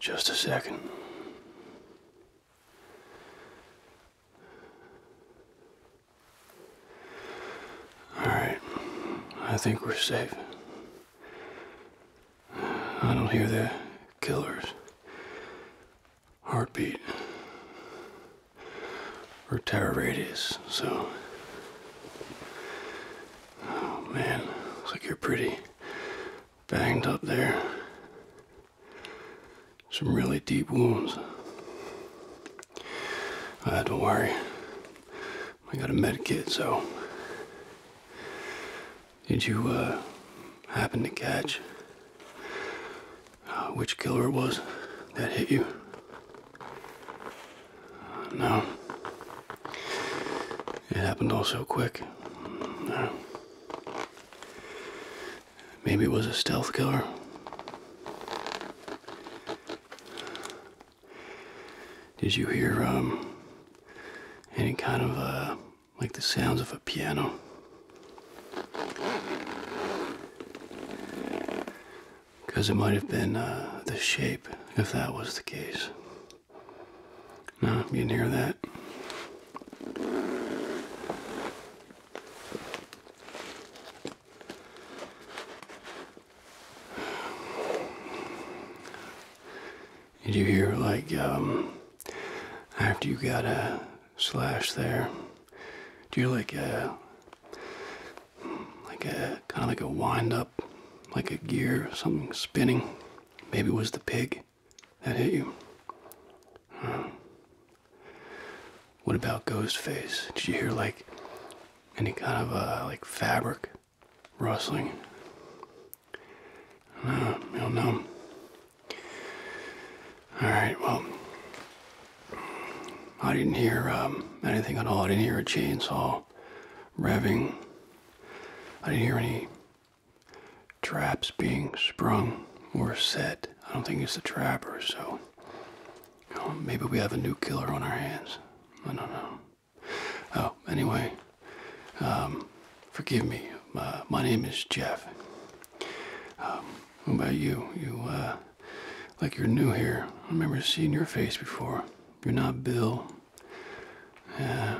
Just a second. Alright, I think we're safe. I don't hear the killer's heartbeat or terror radius, so. Oh, man, looks like you're pretty banged up there. Some really deep wounds. Uh, don't worry. I got a med kit, so. Did you uh, happen to catch uh, which killer it was that hit you? No. It happened all so quick. Maybe it was a stealth killer. Did you hear um, any kind of uh, like the sounds of a piano? because it might have been uh, the shape if that was the case. No, you didn't hear that. Did um, uh, you hear, like, after you got a slash there, do you like like a kind of like a wind up, like a gear, something spinning. Maybe it was the pig that hit you. What about Ghostface? Did you hear like any kind of uh, like fabric rustling? I don't know. All right, well, I didn't hear um, anything at all. I didn't hear a chainsaw revving. I didn't hear any traps being sprung or set. I don't think it's the trapper, so maybe we have a new killer on our hands. I don't know. Oh, anyway, um, forgive me. Uh, my name is Jeff. Um, what about you? You uh, like you're new here. I remember seeing your face before. You're not Bill, uh,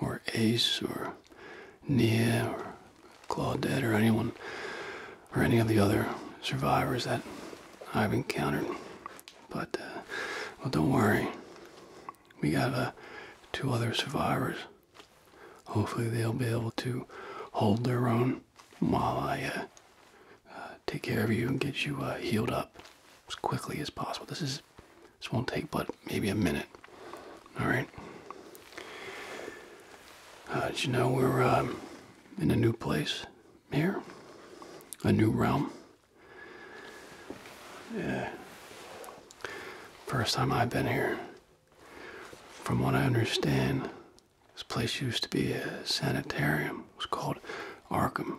or Ace, or Nia, or Claudette, or anyone, or any of the other survivors that I've encountered. But, uh, well, don't worry. We got uh, two other survivors. Hopefully, they'll be able to hold their own um, while I take care of you and get you uh, healed up as quickly as possible. This is this won't take but maybe a minute. All right. Uh, did you know we're um, in a new place here, a new realm? Yeah. First time I've been here. From what I understand, this place used to be a sanitarium. It was called Arkham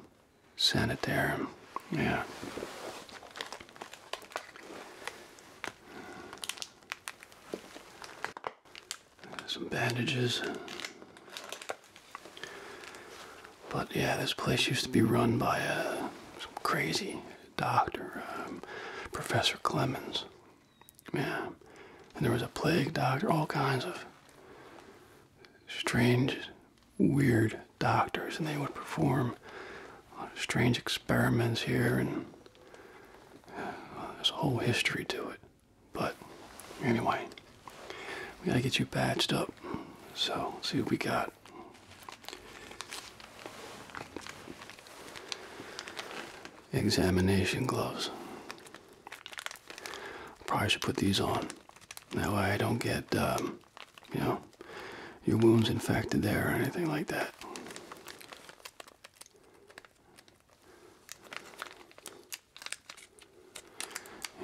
Sanitarium. Yeah. Some bandages. But yeah, this place used to be run by a uh, crazy doctor, um, Professor Clemens. Yeah. And there was a plague doctor, all kinds of strange, weird doctors, and they would perform strange experiments here, and uh, there's a whole history to it. But anyway, we gotta get you patched up. So, see what we got. Examination gloves probably should put these on. That way I don't get, um, you know, your wounds infected there or anything like that.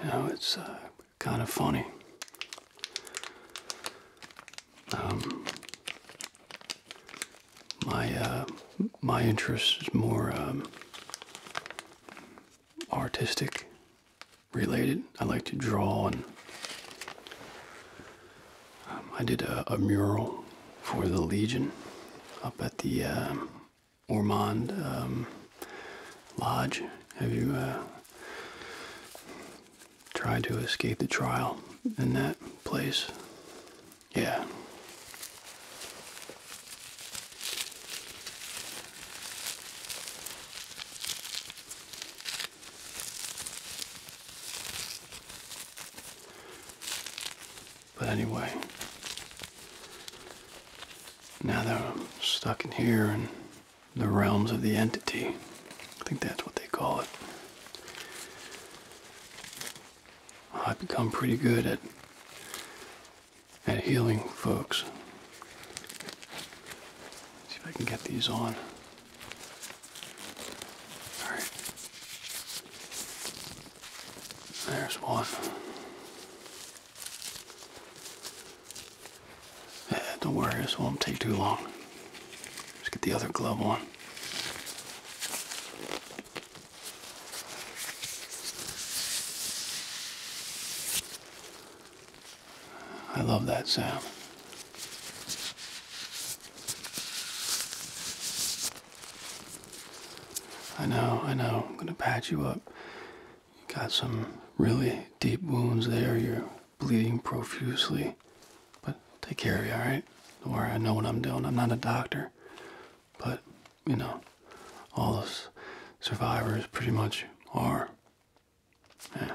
You know, it's uh, kind of funny. Um, my uh, my interest is more um, artistic related. I like to draw, and um, I did a, mural for the Legion up at the um, Ormond um, Lodge. Have you uh, tried to escape the trial in that place? Yeah. But anyway, now that I'm stuck in here in the realms of the entity, I think that's what they call it. I've become pretty good at at healing folks. See if I can get these on. Alright. There's one. Eh, don't worry, this won't take too long. Let's get the other glove on. I love that sound. I know, I know. I'm going to patch you up. You got some really deep wounds there. You're bleeding profusely. But take care of you, alright? Don't worry, I know what I'm doing. I'm not a doctor. But, you know, all those survivors pretty much are. Yeah.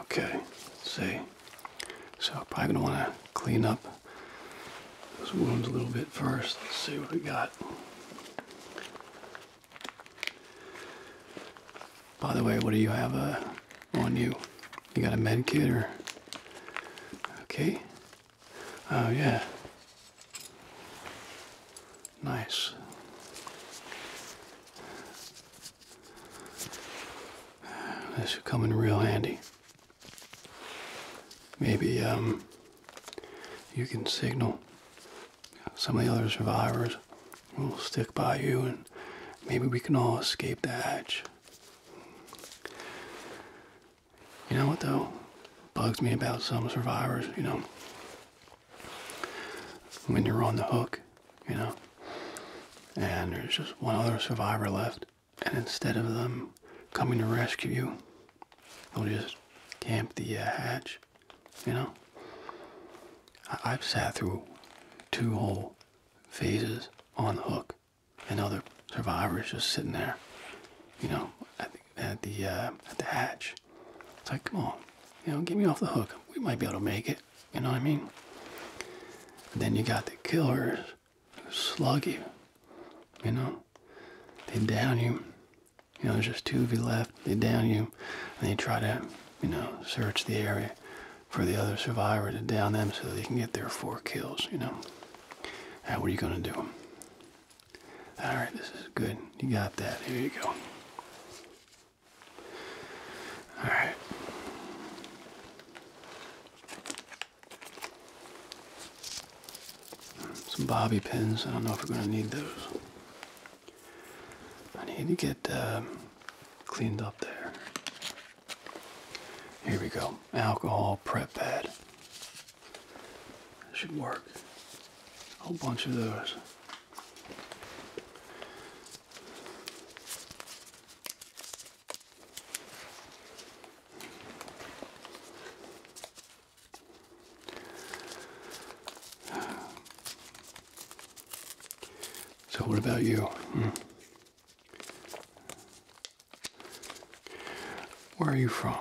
Okay, see. So probably gonna wanna clean up those wounds a little bit first. Let's see what we got. By the way, what do you have uh, on you? You got a med kit or? Okay. Oh, yeah. Nice. This should come in real handy. Maybe um, you can signal some of the other survivors. We'll stick by you and maybe we can all escape the hatch. You know what though? Bugs me about some survivors, you know. When you're on the hook, you know, and there's just one other survivor left, and instead of them coming to rescue you, they'll just camp the uh, hatch, you know. I I've sat through two whole phases on the hook and other survivors just sitting there, you know, at the at the, uh, at the hatch. It's like, come on, you know, get me off the hook. We might be able to make it. You know what I mean? then you got the killers who slug you. You know, they down you. You know, there's just two of you left. They down you, and they try to, you know, search the area for the other survivor to down them so they can get their four kills, you know. Now, what are you going to do? All right, this is good. You got that. Here you go. All right. Some bobby pins. I don't know if we're going to need those. I need to get uh, cleaned up there. Here we go. Alcohol prep pad. should work. A whole bunch of those. So what about you? Hmm. Where are you from?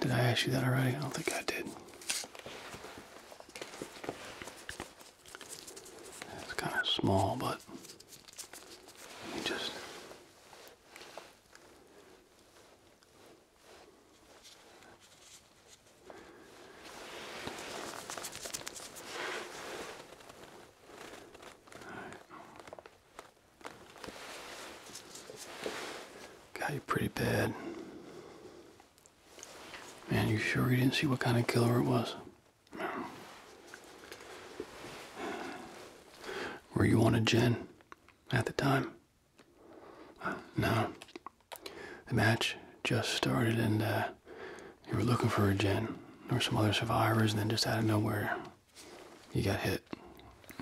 Did I ask you that already? I don't think I did. It's kind of small, but just. Got you pretty bad. Man, you sure you didn't see what kind of killer it was? Were you on a gen at the time? no. The match just started and uh, you were looking for a Jen. or some other survivors, and then just out of nowhere, you got hit.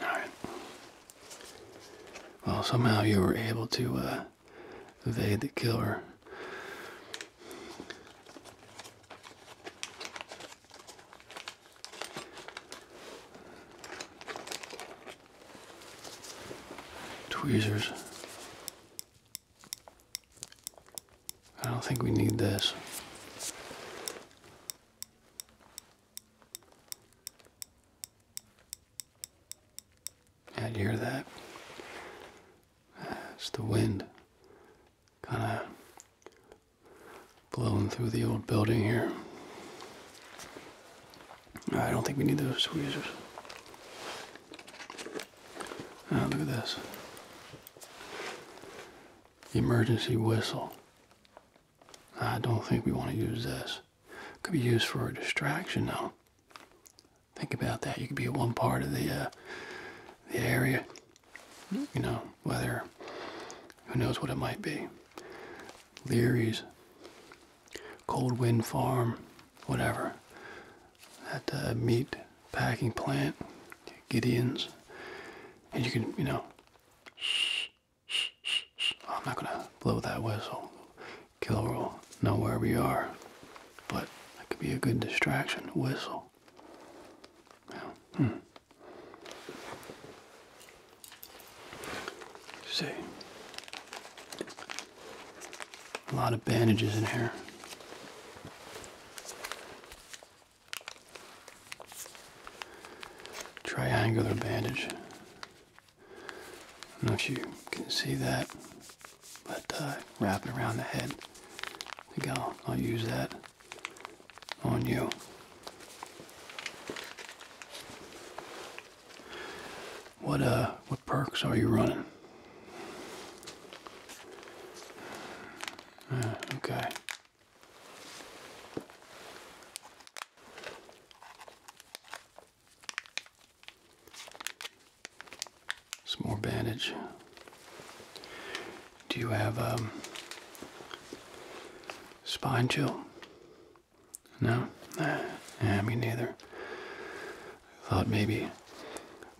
Alright. Well, somehow you were able to uh, evade the killer. Tweezers. I don't think we need this. Yeah, hear that? It's the wind kind of blowing through the old building here. I don't think we need those tweezers. Oh, ah, look at this emergency whistle. I don't think we want to use this. Could be used for a distraction though. Think about that. You could be at one part of the uh, the area. You know, whether who knows what it might be. Leary's, Cold Wind Farm, whatever. That uh, meet packing plant, Gideon's, and you can, you know, I'm not gonna blow that whistle. Killer will know where we are, but that could be a good distraction. Whistle. Hmm. see, a lot of bandages in here triangular bandage. I don't know if you can see that, but uh, wrap it around the head. I think will I'll use that on you. What uh, what perks are you running? Ah, okay. Some more bandage. Do you have um, spine chill? No? Nah, yeah, me neither. thought maybe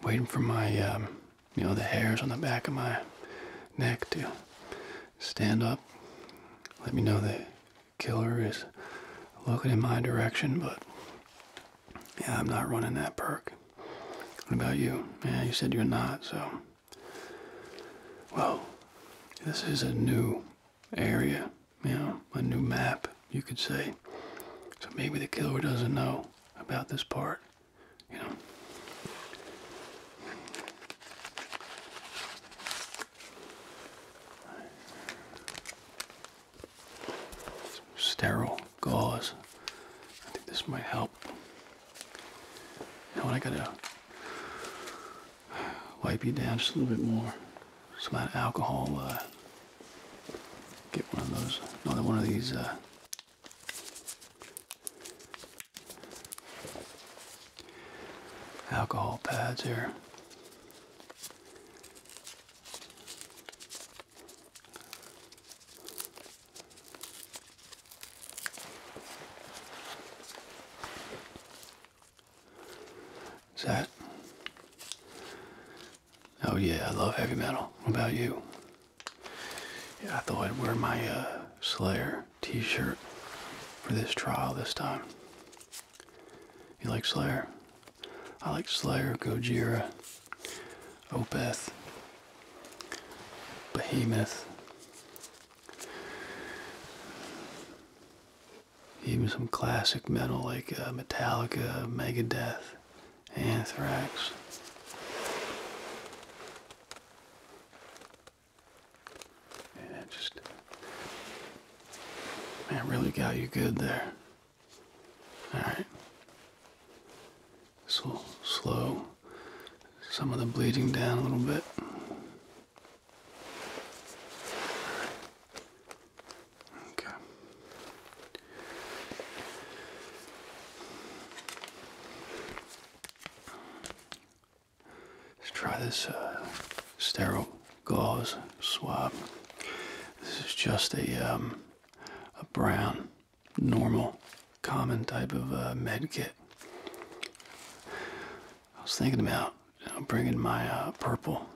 waiting for my um, you know, the hairs on the back of my neck to stand up. Let me know the killer is looking in my direction, but yeah, I'm not running that perk. What about you? Yeah, you said you're not, so. Well, this is a new area, you know, a new map, you could say. So maybe the killer doesn't know about this part. Sterile gauze. I think this might help. You I gotta wipe you down just a little bit more. Some of that alcohol. Uh, get one of those. Another one of these. Uh, alcohol pads here. Is that? Oh yeah, I love heavy metal. What about you? Yeah, I thought I'd wear my uh, Slayer t-shirt for this trial this time. You like Slayer? I like Slayer, Gojira, Opeth, Behemoth. Even some classic metal like uh, Metallica, Megadeth, anthrax. just man, really got you good there. All right, this will slow some of the bleeding down a little bit. Okay. Let's try this uh, sterile gauze swab. This is just a um, a brown, normal, common type of uh, med kit. I was thinking about bringing my uh, purple,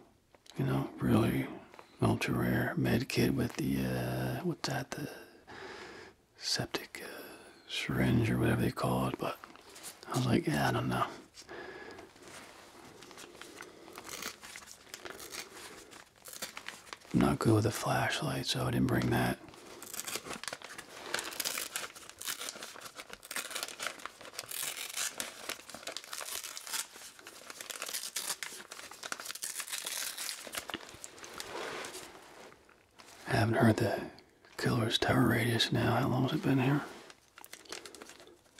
you know, really ultra rare med kit with the what's that the septic uh, syringe or whatever they call it, but I was like, I don't know. I'm not good with a flashlight, so I didn't bring that. I haven't heard the killer's tower radius now. How long has it been here?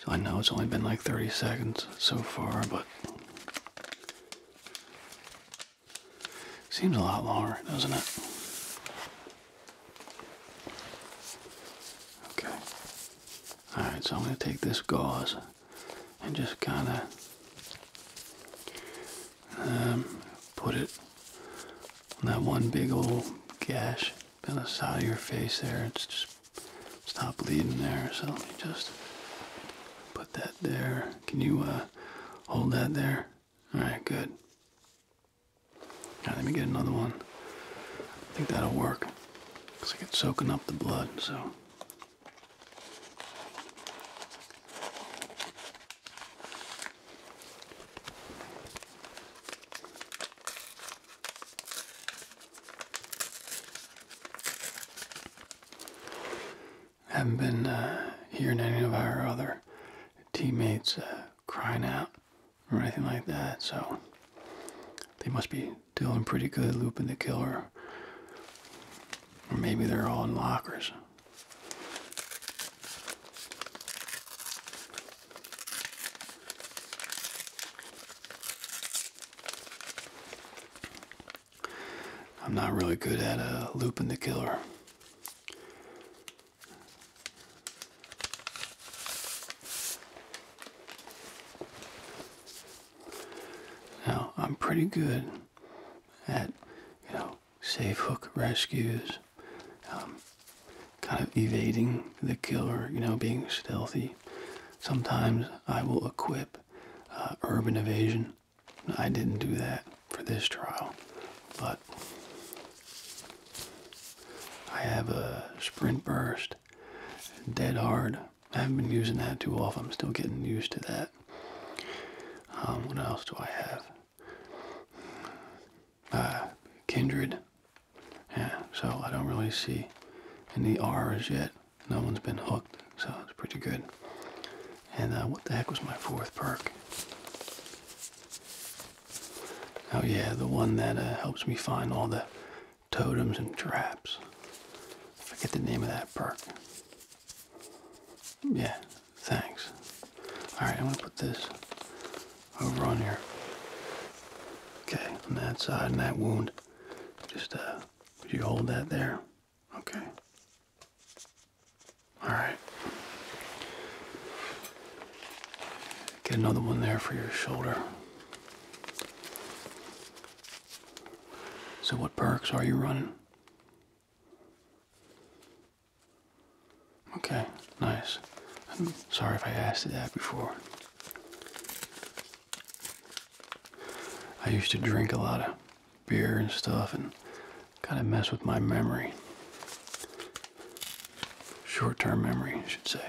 So I know it's only been like 30 seconds so far, but seems a lot longer, doesn't it? Okay. Alright, so I'm going to take this gauze and just kind of um, put it on that one big old gash on the side of your face there. It's just stop bleeding there. So let me just put that there. Can you uh, hold that there? All right, good. All right, let me get another one. I think that'll work. Cause like it's soaking up the blood, so haven't been uh, hearing any of our other teammates uh, crying out or anything like that, so they must be doing pretty good looping the killer. Or maybe they're all in lockers. I'm not really good at uh, looping the killer. Now, I'm pretty good at you know safe hook rescues, um, kind of evading the killer, you know, being stealthy. Sometimes I will equip uh, urban evasion. I didn't do that for this trial, but I have a sprint burst, dead hard. I haven't been using that too often. I'm still getting used to that. Um, what else do I have? Uh, kindred. Yeah, so I don't really see any R's yet. No one's been hooked, so it's pretty good. And uh, what the heck was my fourth perk? Oh yeah, the one that uh, helps me find all the totems and traps. forget the name of that perk. Yeah, thanks. Alright, I'm gonna put this over on here. Okay, on that side and that wound. Just uh would you hold that there? Okay. Alright. Get another one there for your shoulder. So what perks are you running? Okay, nice. I'm sorry if I asked you that before. I used to drink a lot of beer and stuff and kind of mess with my memory. Short term memory, I should say.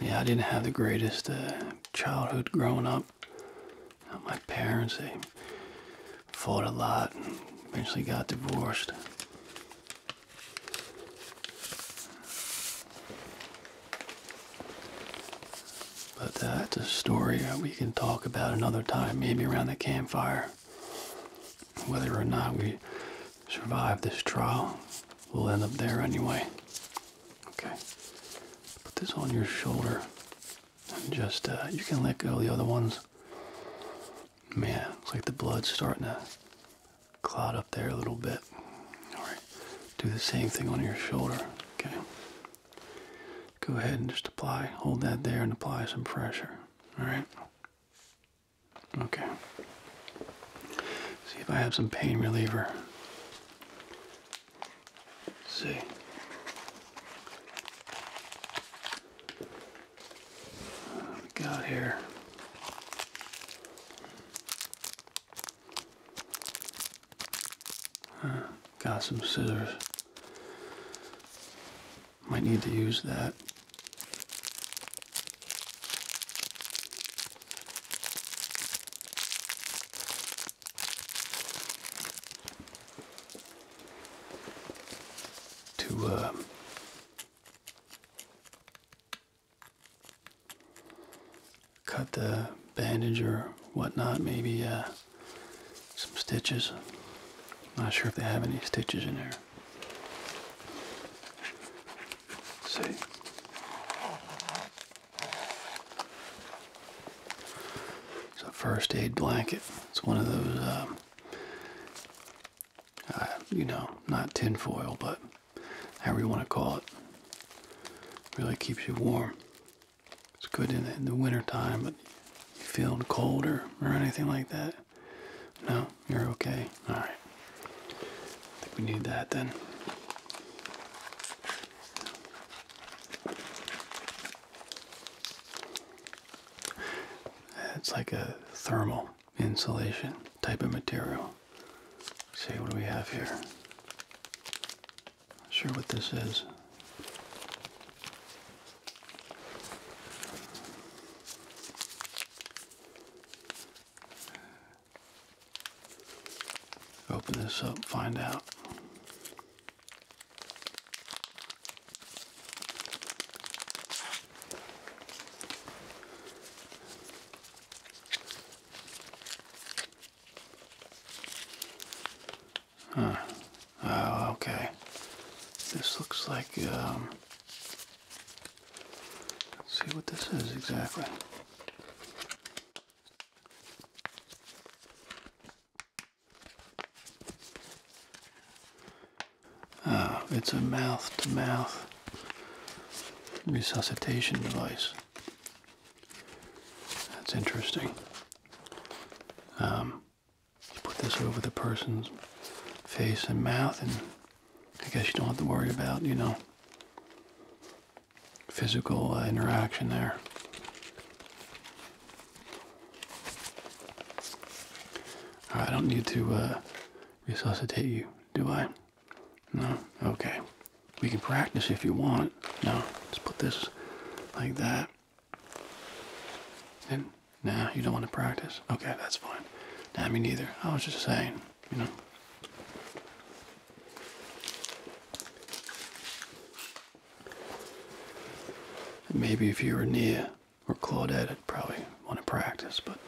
Yeah, I didn't have the greatest uh, childhood growing up. My parents, they fought a lot and eventually got divorced. But uh, that's a story we can talk about another time, maybe around the campfire. Whether or not we survive this trial, we'll end up there anyway. Okay. Put this on your shoulder. And just, uh, you can let go of the other ones. Man, it's like the blood's starting to clot up there a little bit. Alright. Do the same thing on your shoulder. Okay go ahead and just apply, hold that there and apply some pressure. Alright? Okay. See if I have some pain reliever. see. What we got here? Got some scissors. Might need to use that. To uh, cut the bandage or whatnot, maybe uh, some stitches. Not sure if they have any stitches in there. see. It's a first aid blanket. It's one of those, um, uh, you know, not tinfoil, but however you want to call it. Really keeps you warm. It's good in the, in the winter time, but you feel colder or, anything like that? No, you're okay. All right. think we need that then. It's like a thermal insulation type of material. see what do we have here? Not sure what this is. Open this up, find out. Oh, okay. This looks like, um, see what this is exactly. Oh, it's a mouth to mouth resuscitation device. That's interesting. Um, you put this over the person's face and mouth, and I guess you don't have to worry about, you know, physical uh, interaction there. I don't need to uh, resuscitate you, do I? No? Okay. We can practice if you want. No, let's put this like that. And, nah, you don't want to practice. Okay, that's fine. Nah, me neither. I was just saying, you know. maybe if you were near or Claudette, I'd probably want to practice, but.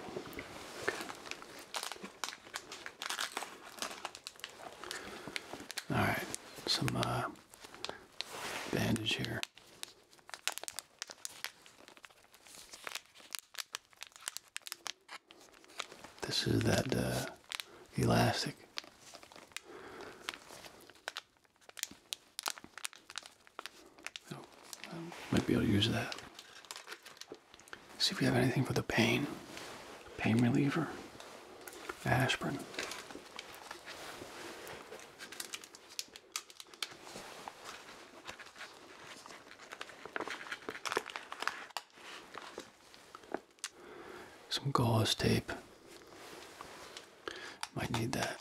Okay. Alright, some uh, bandage here. This is that uh, elastic. Oh, might be able to use that. See if we have anything for the pain. Pain reliever. Aspirin. Some gauze tape. Might need that.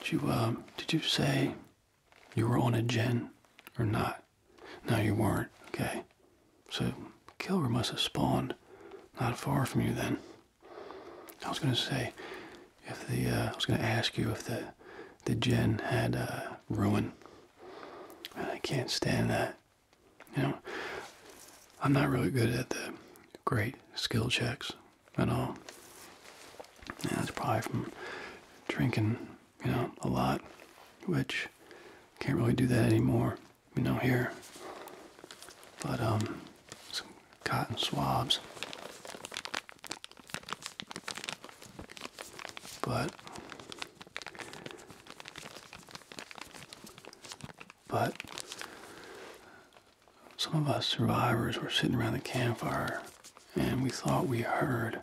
Did you um, did you say you were on a gen, or not? Now you weren't. Okay. So Kilgore must have spawned not far from you then. I was gonna say if the uh, I was gonna ask you if the the Jen had uh, ruin. I can't stand that. You know, I'm not really good at the great skill checks at all. And that's probably from drinking, you know, a lot, which can't really do that anymore, you know, here. But, um, some cotton swabs. But, but, some of us survivors were sitting around the campfire and we thought we heard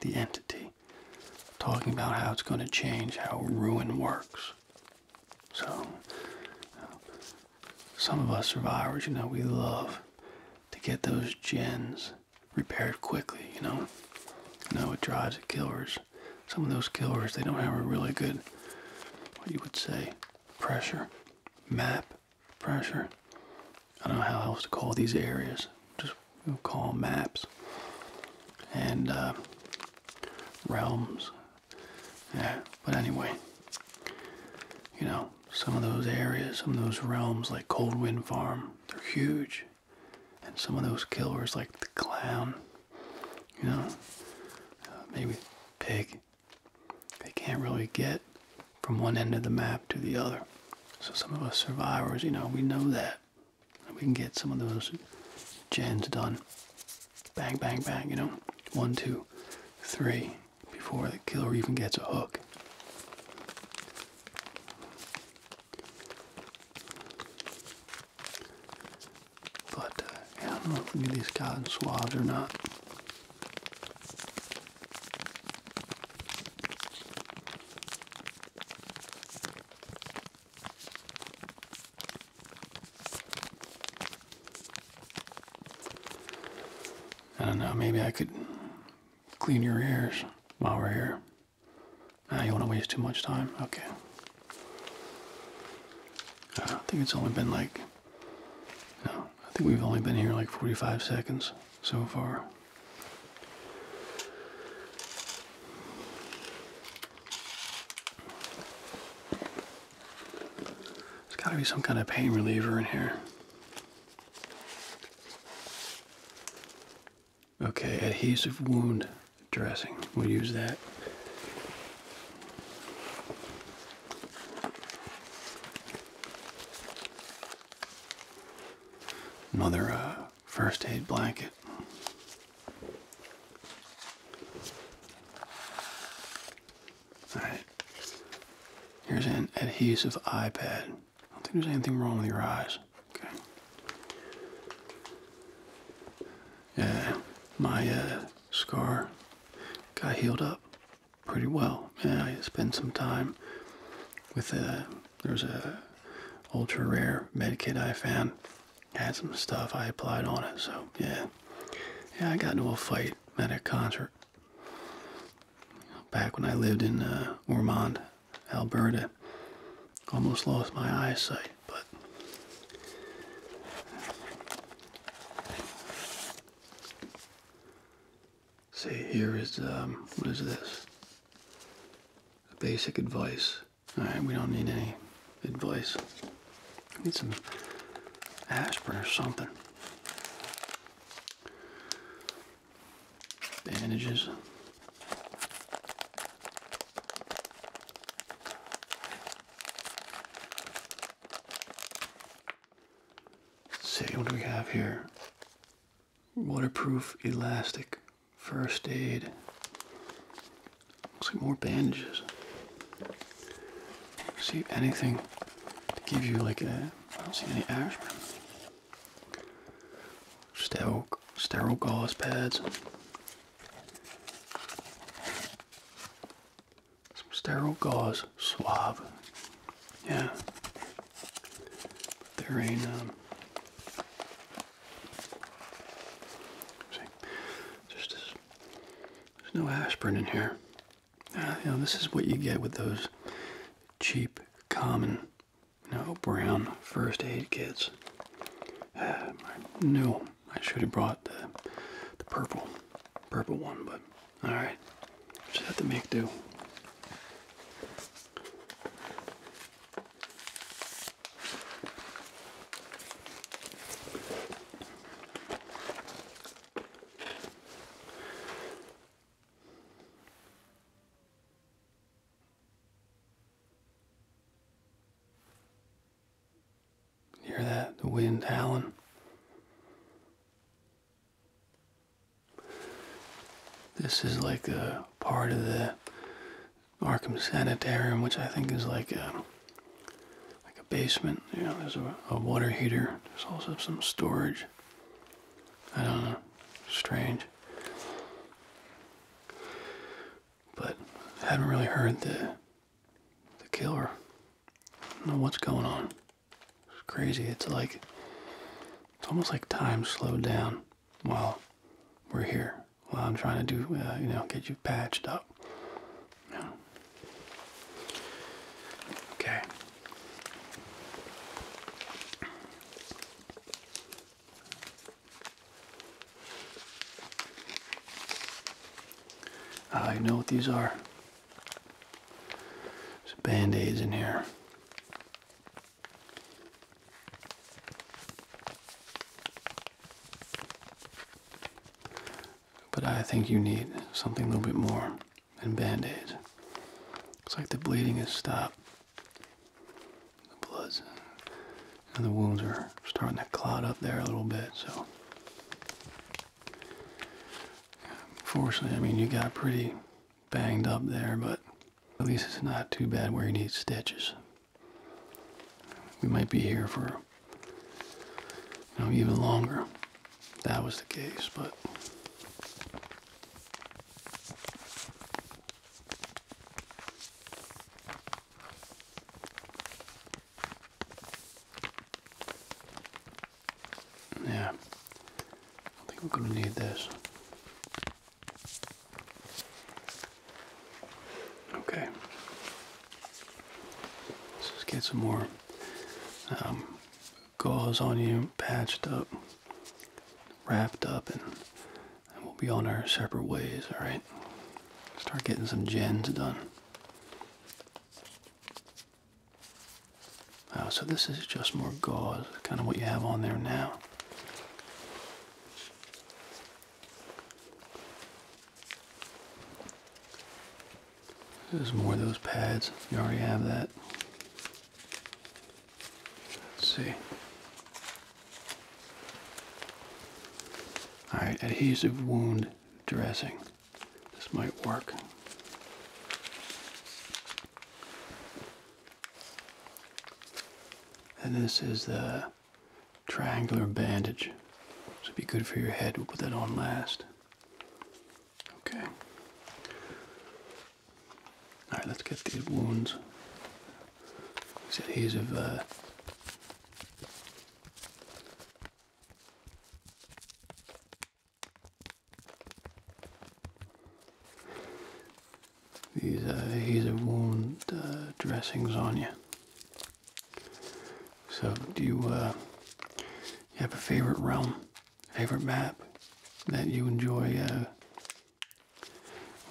the entity talking about how it's going to change how ruin works. So, uh, some of us survivors, you know, we love to get those gens repaired quickly, you know. You know, it drives the killers. Some of those killers, they don't have a really good, what you would say, pressure map pressure. I don't know how else to call these areas. Just call maps and uh, realms. Yeah, but anyway, you know, some of those areas, some of those realms like Cold Wind Farm, they're huge. And some of those killers like the clown, you know, uh, maybe pig, they can't really get from one end of the map to the other. So some of us survivors, you know, we know that. We can get some of those gens done. Bang, bang, bang, you know. One, two, three, before the killer even gets a hook. But uh, I don't know if we need these cotton swabs or not. I don't know, maybe I could clean your ears while we're here. Ah, you want to waste too much time? Okay. I think it's only been like no, I think we've only been here like 45 seconds so far. There's got to be some kind of pain reliever in here. Okay, adhesive wound dressing. We'll use that. Another uh, first aid blanket. Alright. Here's an adhesive iPad. I don't think there's anything wrong with your eyes. Okay. Yeah, my uh, scar got healed up pretty well. Yeah, I spent some time with a uh, There was a ultra rare med I found. Had some stuff I applied on it, so yeah. Yeah, I got into a fight at a concert back when I lived in uh, Ormond, Alberta. Almost lost my eyesight, but See here is um, what is this? Basic advice. All right, we don't need any advice. We need some aspirin or something. Bandages see what do we have here? Waterproof elastic, first aid. Looks like more bandages. See anything to give you like a? I don't see any ash. Sterile, sterile gauze pads some sterile gauze swab. Yeah. there ain't um see just there's no aspirin in here. Uh, this is what you get with those cheap, common, you know, brown first aid kits. Uh, no, I should have brought the purple, purple one, but Alright, just have to make do. Hear that? The wind howling. This is like a part of the Arkham Sanitarium, which I think is like a like a basement. You there's a, water heater. There's also some storage. I don't know. Strange. But I haven't really heard the the killer. know what's going on. It's crazy. It's like it's almost like time slowed down while we're here. While I'm trying to do, uh, you know, get you patched up. Yeah. Okay. I know what these are. There's band-aids in here. But I think you need something a little bit more than band-aids. Looks like the bleeding has stopped. The blood's and the wounds are starting to clot up there a little bit, so Fortunately, I mean, you got pretty banged up there, but at least it's not too bad where you need stitches. We might be here for, you know, even longer. That was the case, but. Yeah, I think we're going to need this. Okay, let's just get some more um, gauze on you, patched up, wrapped up, and, and we'll be on our separate ways, alright? Start getting some gens done so this is just more gauze, kind of what you have on there now. There's more of those pads. You already have that. Let's see. Alright, adhesive wound dressing. This might work. And this is the triangular bandage. So be good for your head. We'll put that on last. Okay. Alright, let's get these wounds. These adhesive uh, these are, these are worn uh, dressings on you. So do you, uh, you have a favorite realm, favorite map that you enjoy? Uh,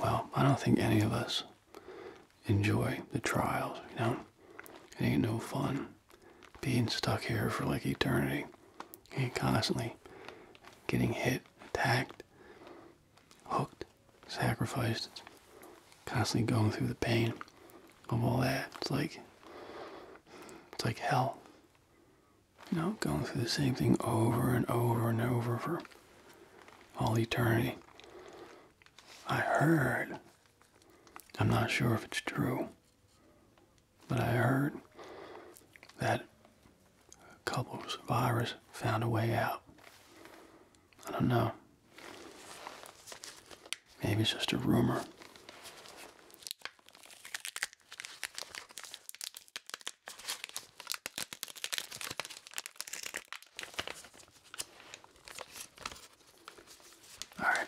well, I don't think any of us enjoy the trials, you know? It ain't no fun being stuck here for like eternity and constantly getting hit, attacked, hooked, sacrificed, constantly going through the pain of all that. It's like it's like hell. You know, going through the same thing over and over and over for all eternity. I heard, I'm not sure if it's true, but I heard that a couple of survivors found a way out. I don't know. Maybe it's just a rumor. All right.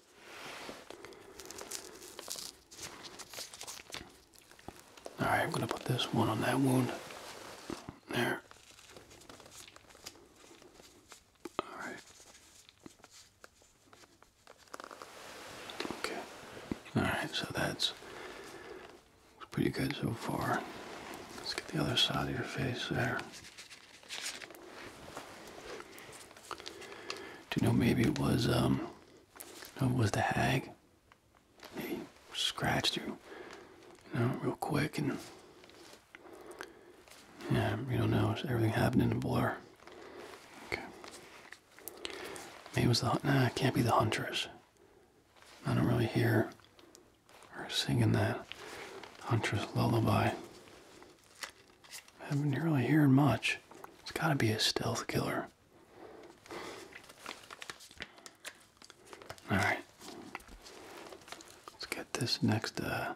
All right, I'm going to put this one on that wound. There. All right. Okay. All right, so that's pretty good so far. Let's get the other side of your face there. Do you know maybe it was um it was the hag. He scratched you, you know, real quick, and yeah, you don't know. Everything happened in a blur. Okay. Maybe it was the nah. It can't be the huntress. I don't really hear her singing that huntress lullaby. I haven't really hearing much. It's got to be a stealth killer. Alright. Let's get this next, uh...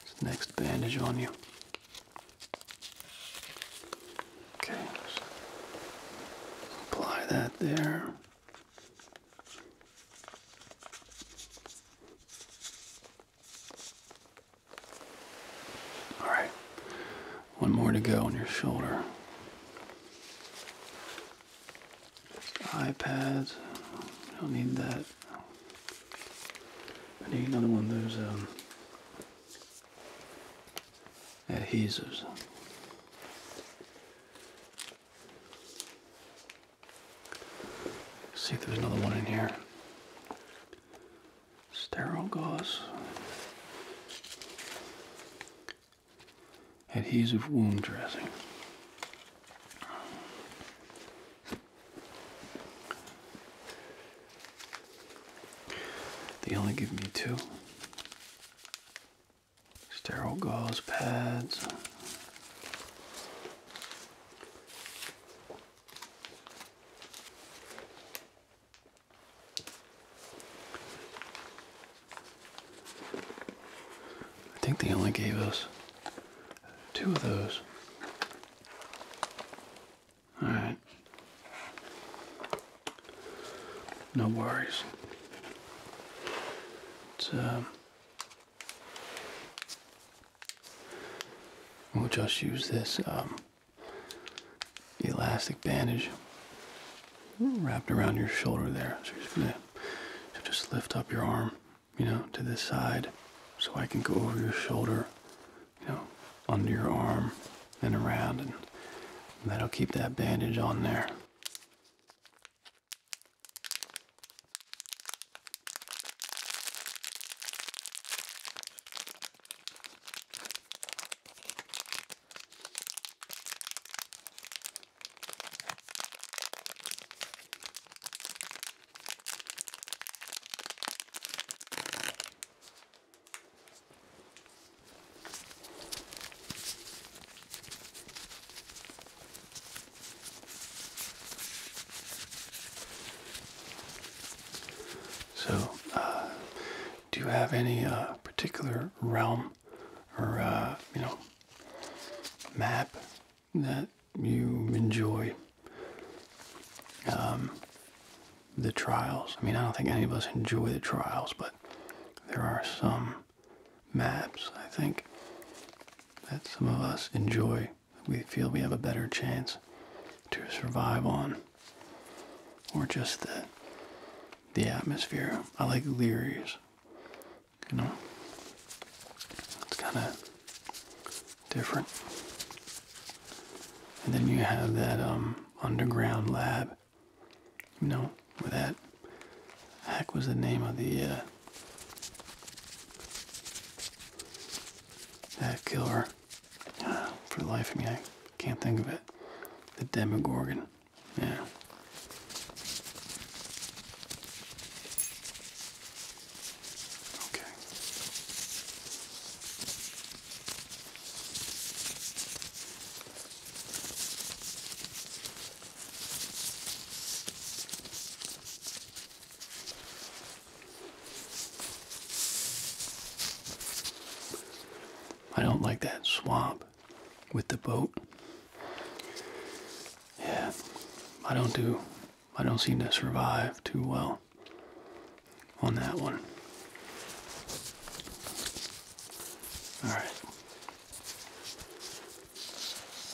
This next bandage on you. Okay, apply that there. All right, one more to go on your shoulder. iPads, i not need that. I need another one those um, adhesives. see if there's another one in here. Sterile gauze. Adhesive wound dressing. They only give me two sterile gauze pads. I think they only gave us two of those. All right. No worries. Um, we'll just use this um, elastic bandage wrapped around your shoulder there. just so just lift up your arm, you know, to this side, so I can go over your shoulder you know, under your arm and around, and that'll keep that bandage on there. So, uh, do you have any uh, particular realm or uh, you know map that you enjoy um, the trials. I mean, I don't think any of us enjoy the trials, but there are some maps, I think, that some of us enjoy. We feel we have a better chance to survive on, or just the the atmosphere. I like Leary's. You know, it's kind of different. And then you have that um, underground lab, you know, where that heck was the name of the uh, that killer. for the life of me, I can't think of it. The Demogorgon. Yeah. Okay. I don't like that swamp with the boat. Yeah, I don't do, I don't seem to survive too well on that one. All right.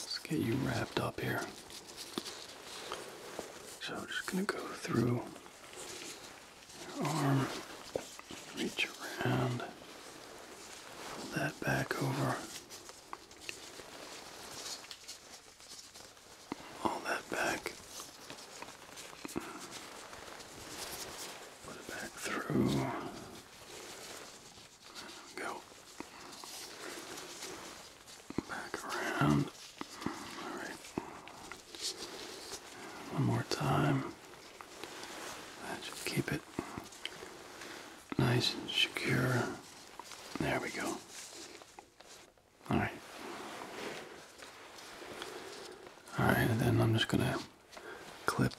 Let's get you wrapped up here. So I'm just going to go through your arm, reach around, pull that back over all that back. Put it back through. Go back around. Alright. One more time. That keep it nice and secure. There we go. All right. All right, and then I'm just gonna clip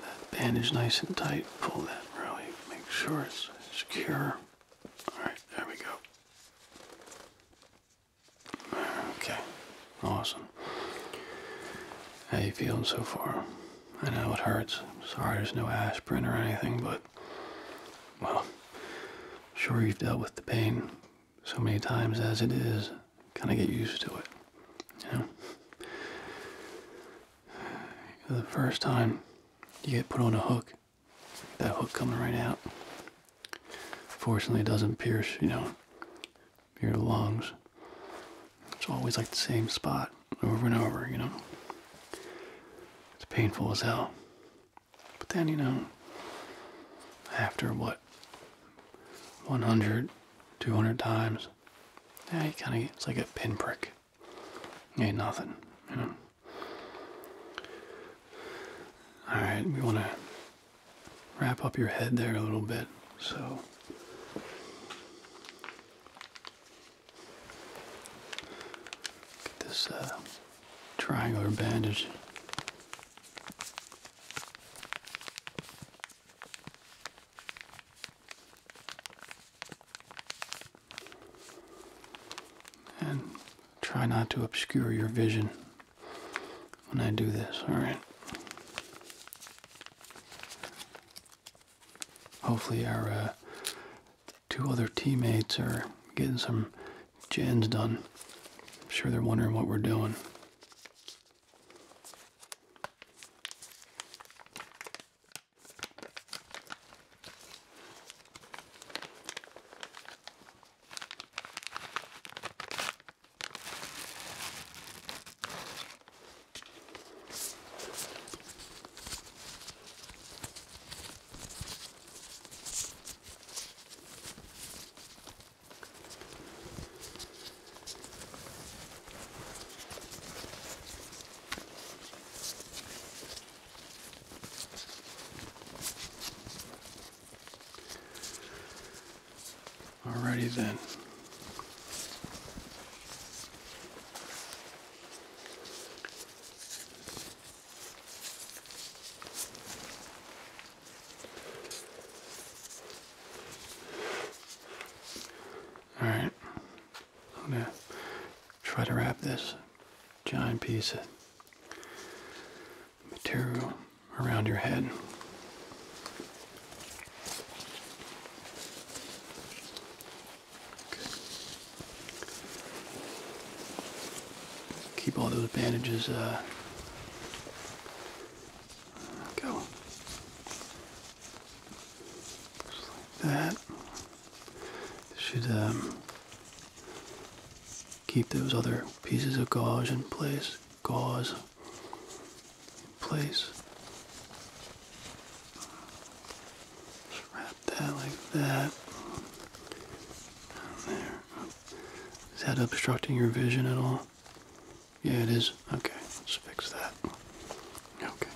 that bandage nice and tight. Pull that really, make sure it's secure. All right, there we go. Okay, awesome. How you feeling so far? I know it hurts. sorry, there's no aspirin or anything, but well, Sure, you've dealt with the pain so many times as it is. Kind of get used to it, you know. The first time you get put on a hook, that hook coming right out. Fortunately, it doesn't pierce, you know, your lungs. It's always like the same spot over and over, you know. It's painful as hell. But then, you know, after what, 100, 200 times, yeah, you kind of, it's like a pinprick. Ain't nothing, you know. Alright, we want to wrap up your head there a little bit. So, get this uh, triangular bandage. And try not to obscure your vision when I do this, alright? Hopefully, our uh, two other teammates are getting some gens done. I'm sure they're wondering what we're doing. Alrighty then. All right, I'm gonna try to wrap this giant piece of material around your head. Keep all those bandages. Uh, go. like that. should um, keep those other pieces of gauze in place. Gauze in place. wrap that like that. Down there. Is that obstructing your vision at all? Yeah, it is. Okay, let's fix that. Okay.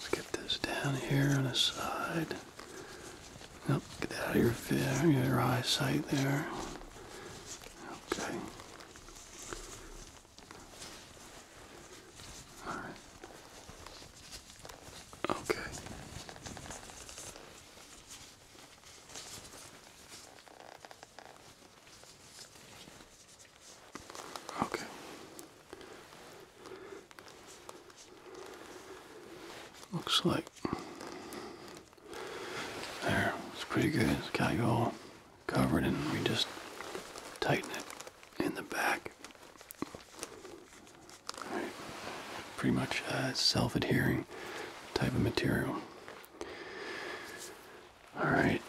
Let's get this down here on the side. Nope, get that out of your, your eyesight there. Okay. Alright. Okay. Okay. Looks like there. It's pretty good. It's got you all covered, and we just tighten it in the back. Pretty much a self-adhering type of material. All right.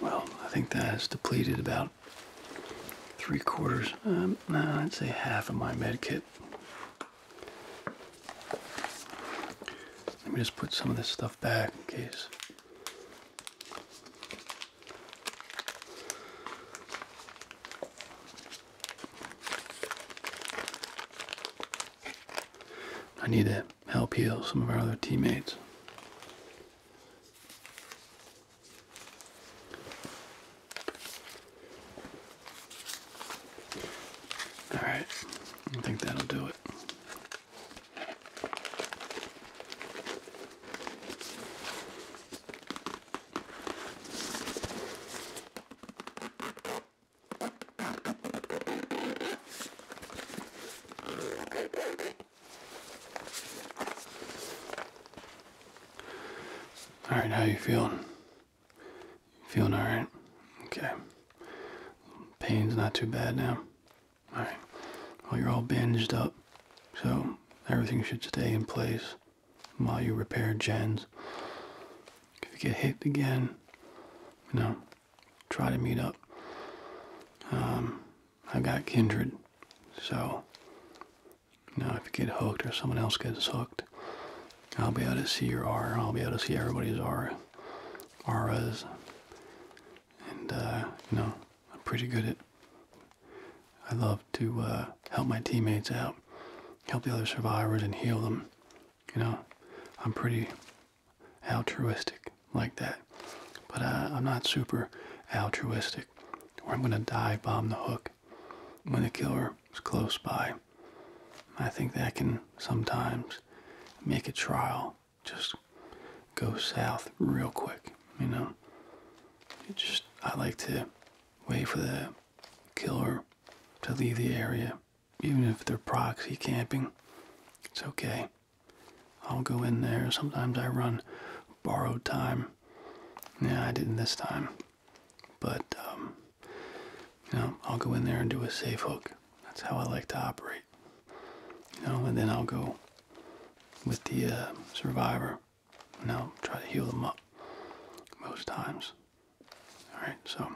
Well, I think that has depleted about three quarters. Um, no, I'd say half of my med kit. Let me just put some of this stuff back in case. I need to help heal some of our other teammates. All right, I think that'll do it. All right, how you feeling? Feeling all right? Okay. Pain's not too bad now. All right. Well, you're all bandaged up, so everything should stay in place while you repair gens. If you get hit again, you know, try to meet up. Um, i got kindred, so you know, if you get hooked or someone else gets hooked, I'll be able to see your aura. I'll be able to see everybody's aura, auras, and uh, you know, I'm pretty good at I love to uh, help my teammates out, help the other survivors, and heal them. You know, I'm pretty altruistic like that, but uh, I'm not super altruistic. Or I'm gonna dive bomb the hook when the killer is close by. I think that can sometimes make a trial just go south real quick. You know, just I like to wait for that killer to leave the area, even if they're proxy camping. It's okay. I'll go in there. Sometimes I run borrowed time. Yeah, I didn't this time. But, um, you know, I'll go in there and do a safe hook. That's how I like to operate. You know, and then I'll go with the uh, survivor no, try to heal them up most times. Alright, so,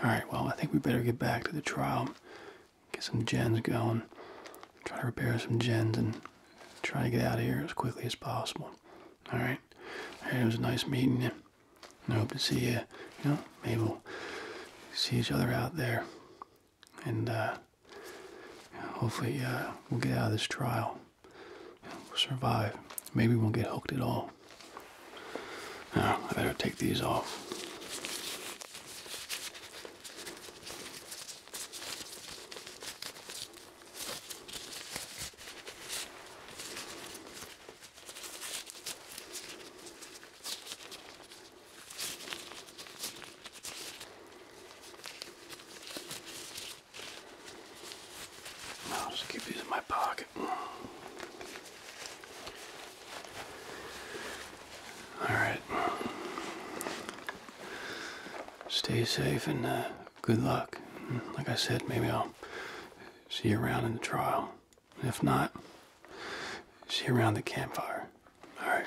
alright, well, I think we better get back to the trial, get some gens going, try to repair some gens, and try to get out of here as quickly as possible. Alright, Hey, it was a nice meeting I hope to see you, you know, maybe see each other out there. And uh, hopefully uh, we'll get out of this trial. We'll survive. Maybe we won't get hooked at all. Now, ah, I better take these off. I'll just keep these in my pocket. Alright. Stay safe and uh, good luck. Like I said, maybe I'll see you around in the trial. If not, see you around the campfire. Alright.